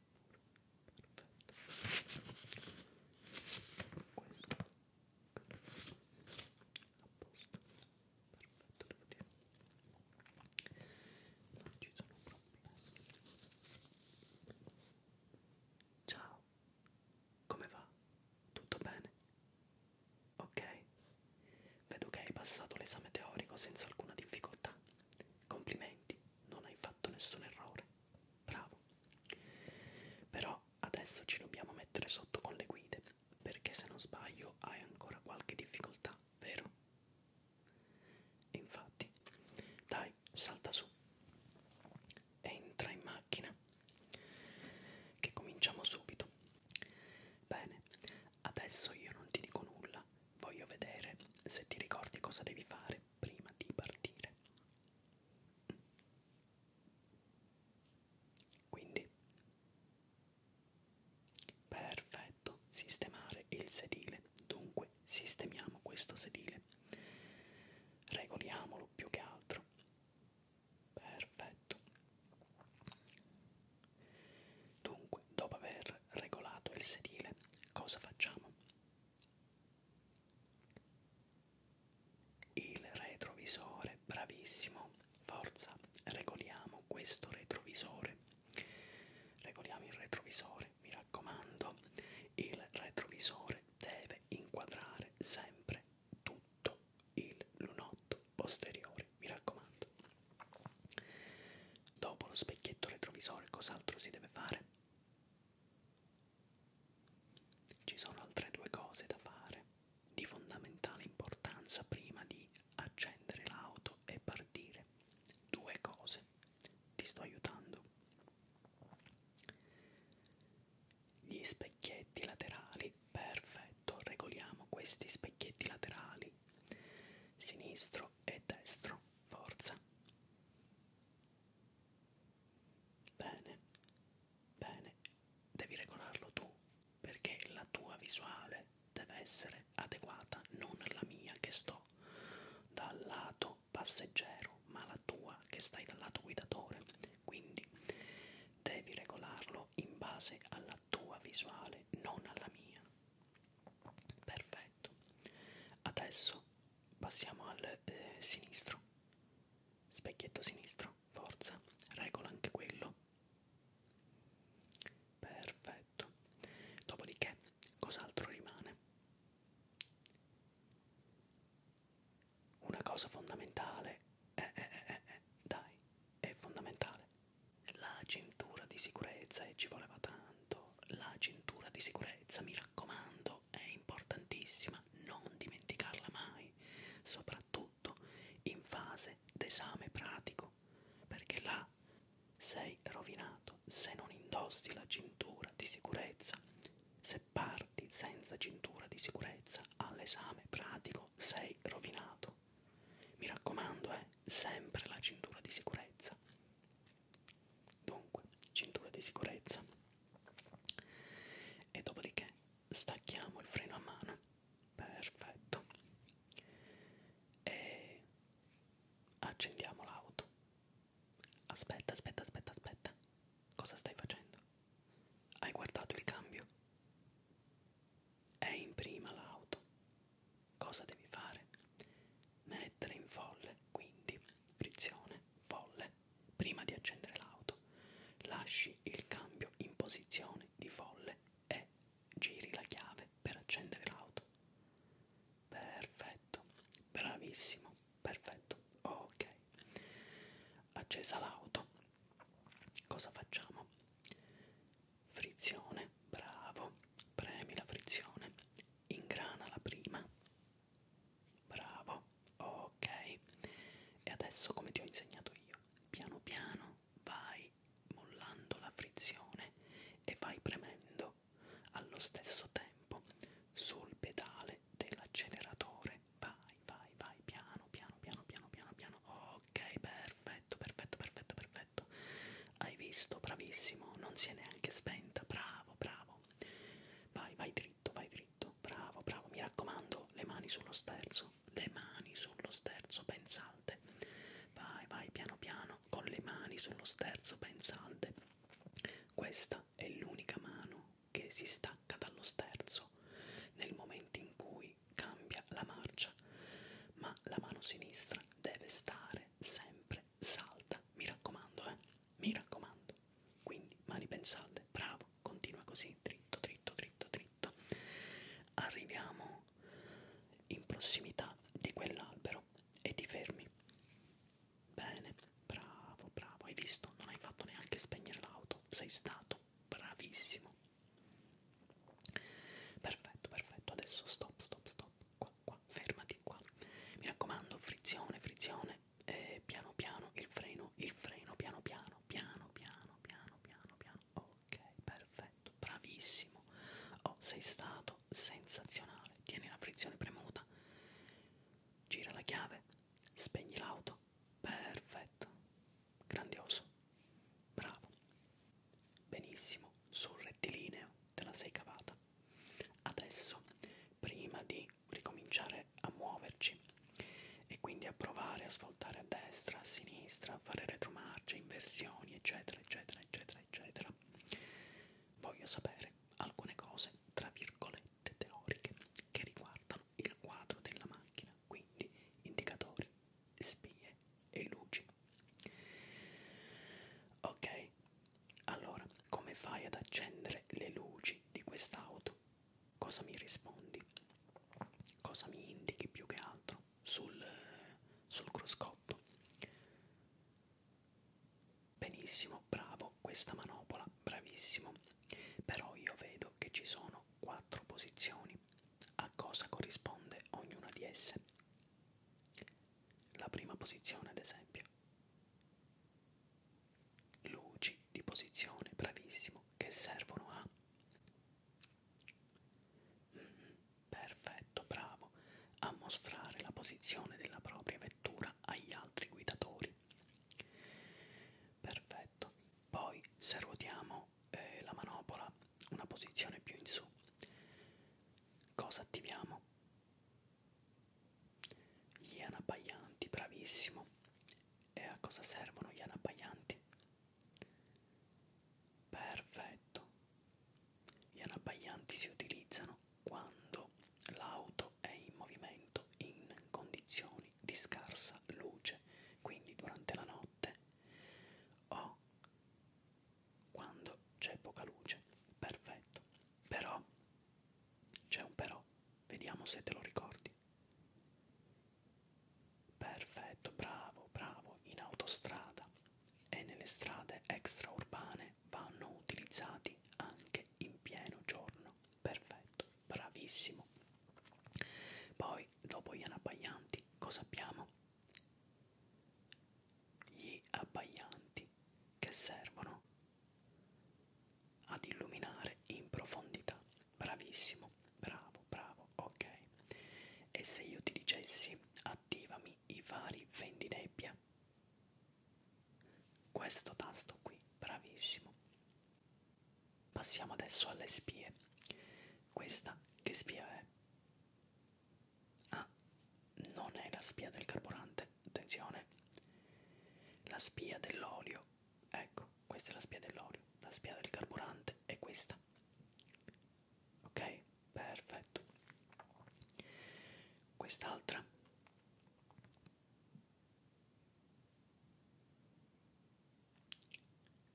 non ci sono problemi ciao come va? tutto bene? ok vedo che hai passato l'esame teorico senza alcuna difficoltà complimenti non hai fatto nessun errore, bravo. Però adesso ci dobbiamo mettere sotto con le guide, perché se non sbaglio hai ancora qualche difficoltà, vero? Infatti, dai, salta su, entra in macchina, che cominciamo subito. Bene, adesso io non ti dico nulla Voglio vedere se ti ricordi cosa devi fare prima di partire. Quindi, perfetto, sistemare il sedile. Dunque, sistemiamo questo sedile. Regoliamolo più che altro. Perfetto. Dunque, dopo aver regolato il sedile, cosa facciamo? Il retrovisore, bravissimo, forza, regoliamo questo retrovisore. Regoliamo il retrovisore, mi raccomando, il retrovisore deve inquadrare sempre tutto il lunotto posteriore, mi raccomando. Dopo lo specchietto retrovisore cos'altro si deve fare? Ci sono altre due cose da fare, di fondamentale importanza prima di accendere l'auto e partire. Due cose, ti sto aiutando. Gli specchietti laterali, perfetto, regoliamo questi specchietti laterali quindi sinistro e destro, forza. Bene, bene, devi regolarlo tu perché la tua visuale deve essere adeguata, non la mia che sto dal lato passeggero, ma la tua che stai dal lato guidatore. Quindi devi regolarlo in base alla tua visuale, non alla mia perfetto adesso passiamo al eh, sinistro specchietto sinistro forza regola anche quello perfetto dopodiché cos'altro rimane una cosa fondamentale eh, eh, eh, eh, eh. dai è fondamentale la cintura di sicurezza e ci voleva tanto. La cintura di sicurezza, mi raccomando, è importantissima, non dimenticarla mai, soprattutto in fase d'esame pratico, perché là sei rovinato se non indossi la cintura di sicurezza. Se parti senza cintura di sicurezza all'esame pratico sei rovinato. Mi raccomando, eh, sempre la cintura di sicurezza. Dunque, cintura di sicurezza. E dopodiché stacchiamo il freno a mano. Perfetto. E accendiamo l'auto. Aspetta, aspetta, aspetta, aspetta. Cosa stai facendo? Hai guardato il cambio? È in prima l'auto cosa devi fare? Mettere in folle, quindi frizione, folle, prima di accendere l'auto. Lasci il cambio in posizione di folle e giri la chiave per accendere l'auto. Perfetto, bravissimo, perfetto. Ok, accesa l'auto. Cosa facciamo? frizione, bravo, premi la frizione, ingrana la prima, bravo, ok, e adesso come ti ho insegnato io, piano piano vai mollando la frizione e vai premendo allo stesso tempo sul pedale dell'acceleratore, vai, vai, vai, piano, piano, piano, piano, piano, piano, ok, perfetto, perfetto, perfetto, perfetto perfetto. Hai visto, bravissimo, non si è neanche spenta, bravo, bravo. Vai, vai dritto, vai dritto, bravo, bravo. Mi raccomando, le mani sullo sterzo, le mani sullo sterzo, ben salde. Vai, vai, piano piano, con le mani sullo sterzo, ben salde. Questa è l'unica mano che si stacca dallo sterzo nel momento in cui cambia la marcia, ma la mano sinistra deve stare sempre, sempre salta. Mi raccomando, eh? Mi raccomando. Quindi, mani pensate, bravo, continua così, dritto, dritto, dritto, dritto. Arriviamo in prossimità di quell'albero e ti fermi. Bene, bravo, bravo, hai visto? Non hai fatto neanche spegnere l'auto, sei stato bravissimo. Perfetto, perfetto, adesso stop, stop, stop. Qua qua, qua, fermati qua. Mi raccomando, frizione, frizione, eh, piano piano, il freno, il freno, piano piano, piano piano, piano piano, piano. Ok, perfetto, bravissimo. Oh, sei stato sensazionale. Tieni la frizione premuta, gira la chiave, spegni l'auto. Perfetto, grandioso, bravo. Benissimo, sul rettilineo te la sei cavata. Adesso, prima di ricominciare a muoverci e quindi a provare a svoltare a destra, a sinistra, a fare retromarce, inversioni, eccetera, eccetera, eccetera, eccetera, voglio sapere alcune cose, tra virgolette, teoriche che riguardano il quadro della macchina, quindi indicatori, spie e luci. Ok, allora come fai ad accendere le luci di quest'auto? Cosa mi rispondi? Cosa mi indichi più che altro sul, sul cruscotto? Benissimo, bravo, questa manopola, bravissimo. Però io vedo che ci sono quattro posizioni. A cosa corrisponde ognuna di esse? la prima posizione ad esempio. Luci di posizione, bravissimo, che servono a... Mm, perfetto, bravo, a mostrare la posizione della propria vettura agli altri guidatori. Perfetto, poi se ruotiamo eh, la manopola una posizione più in su cosa attiviamo? Gli anapaianti, bravissimo. E a cosa servono gli anapaianti? Perfetto. Gli anapaianti si utilizzano quando l'auto è in movimento in condizioni di scarsa luce, quindi durante la notte o quando c'è poca luce. Perfetto. Però, c'è un però, vediamo se te lo ricordi. Perfetto, bravo, bravo, in autostrada e nelle strade extraurbane vanno utilizzati anche in pieno giorno. Perfetto, bravissimo. Poi, dopo gli anabbaglianti, cosa abbiamo? gli abbaianti che servono ad illuminare in profondità. Bravissimo, bravo, bravo, ok. E se io ti dicessi attivami i vari vendinebbia? Questo tasto qui, bravissimo. Passiamo adesso alle spie. Questa che spia è? Ah, non è la spia del carburante, attenzione, la spia dell'olio, ecco, questa è la spia dell'olio, la spia del carburante è questa. Ok, perfetto. Quest'altra.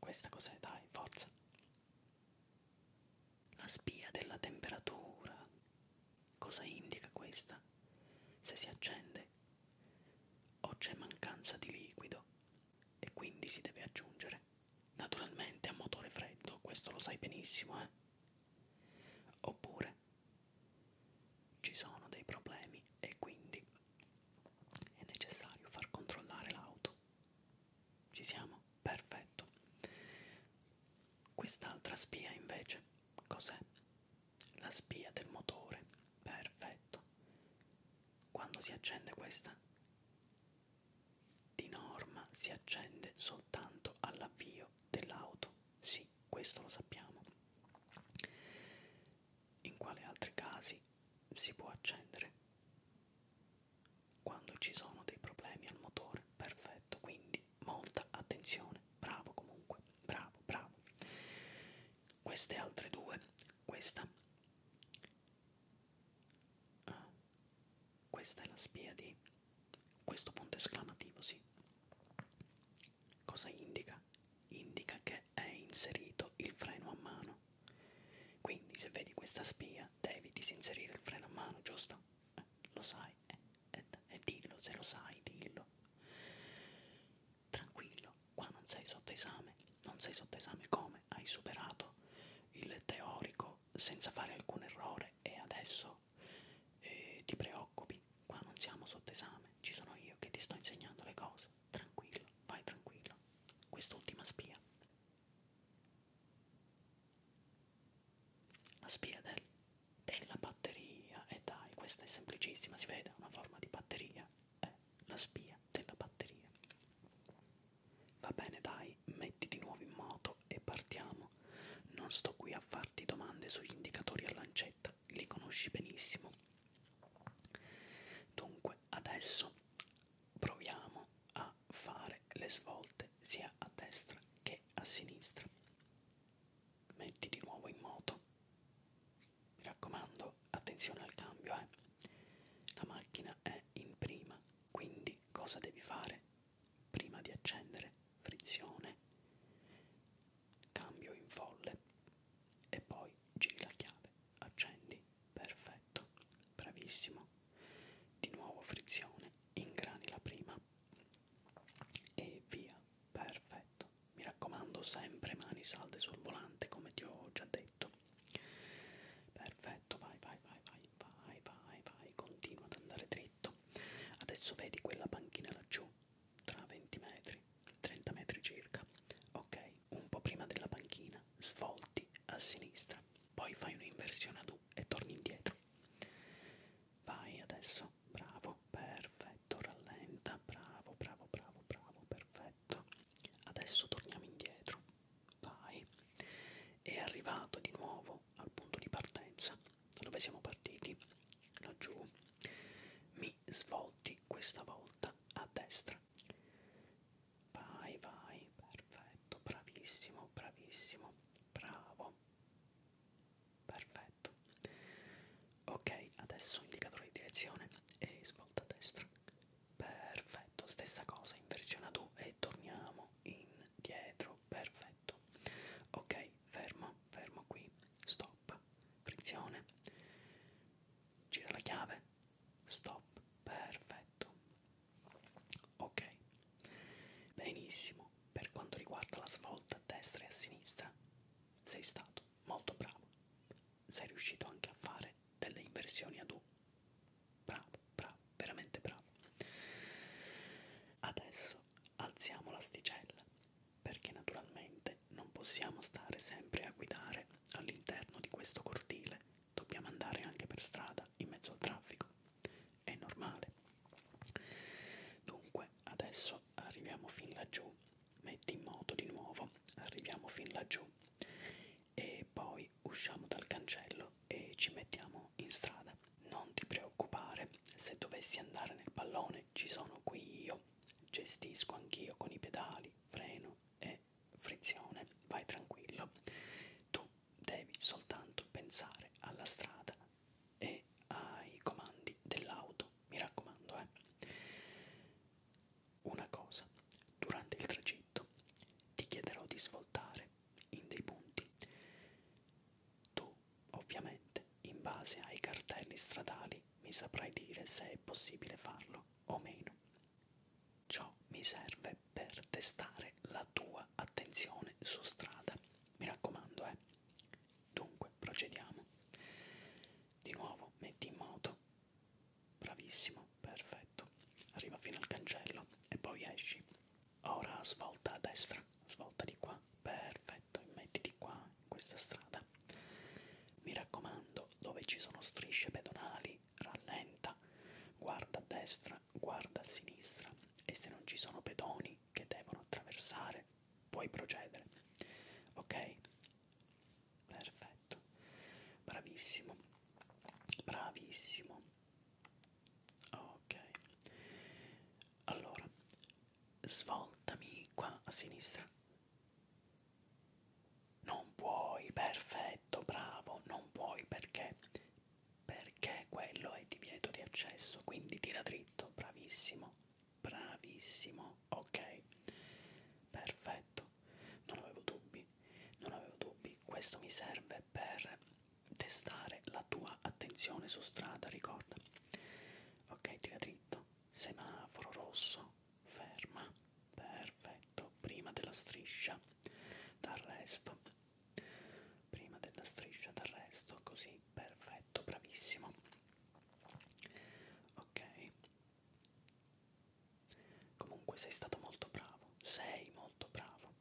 Questa cos'è? Dai, forza. La spia della temperatura. Cosa indica questa? Se si accende o c'è mancanza di liquido e quindi si deve aggiungere. Naturalmente a motore freddo, questo lo sai benissimo, eh? Oppure ci sono dei problemi e quindi è necessario far controllare l'auto. Ci siamo? perfetto quest'altra spia invece cos'è la spia del motore perfetto quando si accende questa di norma si accende soltanto all'avvio dell'auto sì questo lo sappiamo in quali altri casi si può accendere quando ci sono dei problemi al motore, perfetto, quindi molta attenzione, bravo comunque, bravo, bravo. Queste altre due, questa, ah, questa è la spia di questo punto esclamativo, sì. Cosa indica? Indica che è inserito il freno a mano quindi se vedi questa spia devi disinserire il freno a mano, giusto? Eh, lo sai, e eh, eh, eh, dillo, se lo sai, dillo. Tranquillo, qua non sei sotto esame, non sei sotto esame come? Hai superato il teorico senza fare alcun errore e adesso eh, ti preoccupi, qua non siamo sotto esame, ci sono io che ti sto insegnando le cose, tranquillo, vai tranquillo. Quest'ultima spia la spia del, della batteria, e eh dai, questa è semplicissima, si vede, una forma di batteria, è eh, la spia della batteria. Va bene dai, mettiti di nuovo in moto e partiamo. Non sto qui a farti domande sugli indicatori a lancetta, li conosci benissimo. Dunque, adesso proviamo a a fare le svolte sia a destra che a sinistra. Metti di nuovo in moto. Mi raccomando, attenzione al cambio, eh. La macchina è in prima, quindi cosa devi fare? Prima di accendere, frizione, cambio in folle e poi giri la chiave, accendi perfetto, bravissimo. Di nuovo frizione, ingrani la prima e via, perfetto. Mi raccomando, sempre mani salde sul volante, come ti ho già detto. Perfetto, vai, vai, vai, vai, vai, vai, vai, continua ad andare dritto. Adesso vedi quella panchina laggiù, tra 20 metri, 30 metri circa. Ok, un po' prima della panchina, svolti a sinistra, poi fai un'inversione a U e torni indietro. Vai adesso, bravo, perfetto, rallenta, bravo, bravo, bravo, bravo, perfetto. Adesso torniamo indietro, vai. E arrivato di nuovo al punto di partenza, da dove siamo partiti, laggiù, mi svolti questa volta a destra vai vai perfetto bravissimo bravissimo bravo perfetto ok adesso indicatore di direzione e svolta a destra perfetto stessa cosa inversiona tu e torniamo indietro perfetto ok fermo fermo qui stop frizione gira la chiave stop perfetto Ok, benissimo. Per quanto riguarda la svolta a destra e a sinistra, sei stato molto bravo. Sei riuscito anche a fare delle inversioni ad U. Bravo, bravo, veramente bravo. Adesso alziamo l'asticella perché naturalmente non possiamo stare sempre a guidare all'interno di questo cortile dobbiamo andare anche per strada in mezzo al traffico, è normale. Dunque adesso arriviamo fin laggiù, metti in moto di nuovo, arriviamo fin laggiù e poi usciamo dal cancello e ci mettiamo in strada. Non ti preoccupare, se dovessi andare nel pallone ci sono qui io, gestisco anch'io con i pedali, freno e frizione, vai tranquillo, tu devi soltanto pensare alla strada e ai comandi dell'auto, mi raccomando, eh. Una cosa, durante il tragitto ti chiederò di svoltare in dei punti. Tu, ovviamente, in base ai cartelli stradali mi saprai dire se è possibile farlo o meno. Ciò mi serve per testare la tua attenzione su strada. Mi raccomando, eh. Dunque, procediamo. Di nuovo metti in moto. Bravissimo, perfetto. Arriva fino al cancello e poi esci. Ora svolta a destra, svolta di qua. Perfetto, mettiti qua in questa strada. Mi raccomando, dove ci sono strisce pedonali rallenta, guarda a destra, guarda a sinistra e se non ci sono pedoni che devono attraversare puoi procedere. Ok? Perfetto. Bravissimo. Bravissimo. Ok. Allora, svoltami qua a sinistra. Non puoi, perfetto, bravo, non puoi perché? Perché quello è divieto di accesso, quindi tira dritto, bravissimo, bravissimo, ok, perfetto, non avevo dubbi, non avevo dubbi, questo mi serve per testare la tua attenzione su strada, ricorda, ok, tira dritto, semaforo rosso, ferma, perfetto, prima della striscia d'arresto, prima della striscia d'arresto, così, perfetto, bravissimo. Ok, comunque sei stato molto bravo, sei molto bravo.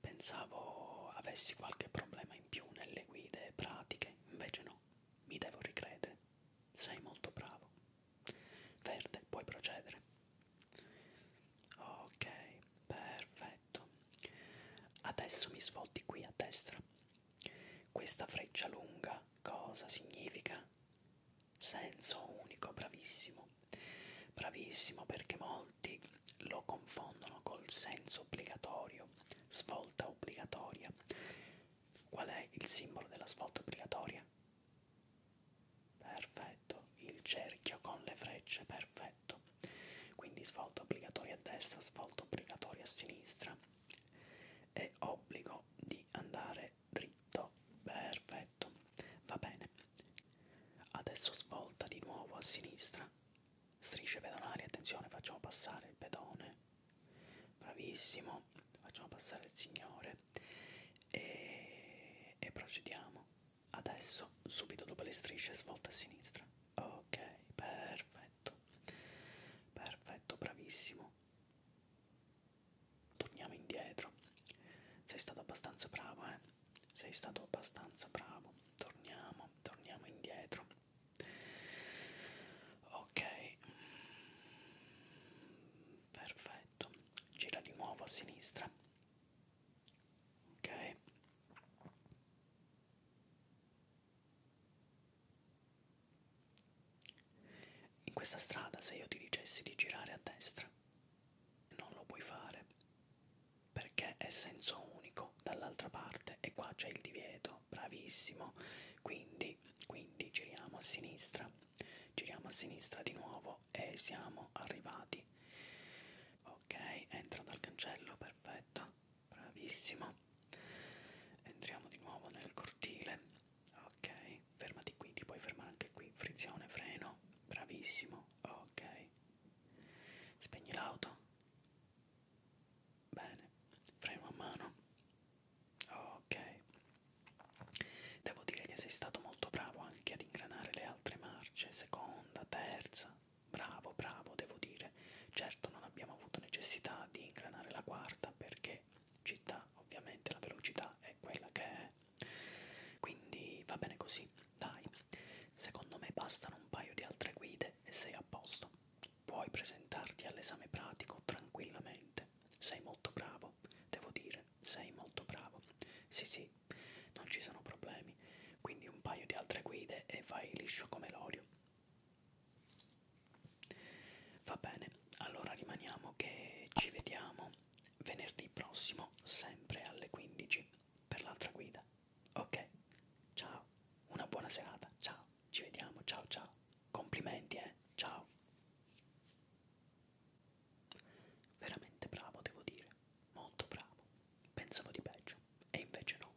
Pensavo avessi qualche problema in più nelle guide pratiche, invece no, mi devo ricredere, sei molto bravo. Verde, puoi procedere. Ok, perfetto. Adesso mi svolti qui a destra. Questa freccia lunga cosa significa? Senso unico, bravissimo. Bravissimo perché molti lo confondono col senso obbligatorio, svolta obbligatoria. Qual è il simbolo della svolta obbligatoria? Perfetto, il cerchio con le frecce, perfetto. Quindi svolto obbligatorio a destra, svolto obbligatorio a sinistra e obbligo di andare dritto, perfetto. Va bene. Adesso svolta di nuovo a sinistra. Strisce pedonali, attenzione, facciamo passare il pedone. Bravissimo, facciamo passare il signore e, e procediamo adesso subito dopo le strisce svolta a sinistra ok perfetto perfetto bravissimo torniamo indietro sei stato abbastanza bravo eh sei stato abbastanza bravo torniamo torniamo indietro ok perfetto gira di nuovo a sinistra ok in questa strada se io ti dicessi di girare a destra non lo puoi fare perché è senso unico dall'altra parte e qua c'è il divieto bravissimo quindi quindi giriamo a sinistra giriamo a sinistra di nuovo e siamo arrivati ok entra dal cancello perfetto bravissimo entriamo di nuovo nel cortile ok fermati qui ti puoi fermare anche qui frizione freno bravissimo ok spegni l'auto bene freno a mano ok Devo dire che sei stato molto bravo anche ad ingranare le altre marce, seconda, terza, bravo, bravo, devo dire. Certo non abbiamo avuto necessità di ingranare la quarta perché città, ovviamente la velocità è quella che è. Quindi va bene così, dai. Secondo me bastano un paio di altre guide e sei a posto. Puoi presentarti all'esame pratico tranquillamente. Sei molto bravo, devo dire bene, sei molto bravo. Sì, sì, non ci sono problemi. Quindi un paio di altre guide e vai liscio come l'olio. Va bene, allora rimaniamo che ci vediamo venerdì prossimo, sempre alle 15, per l'altra guida. Ok, ciao, una buona serata, ciao, ci vediamo, ciao ciao. Complimenti, eh, ciao. Veramente bravo, devo dire, molto bravo. Pensavo di peggio, e invece no.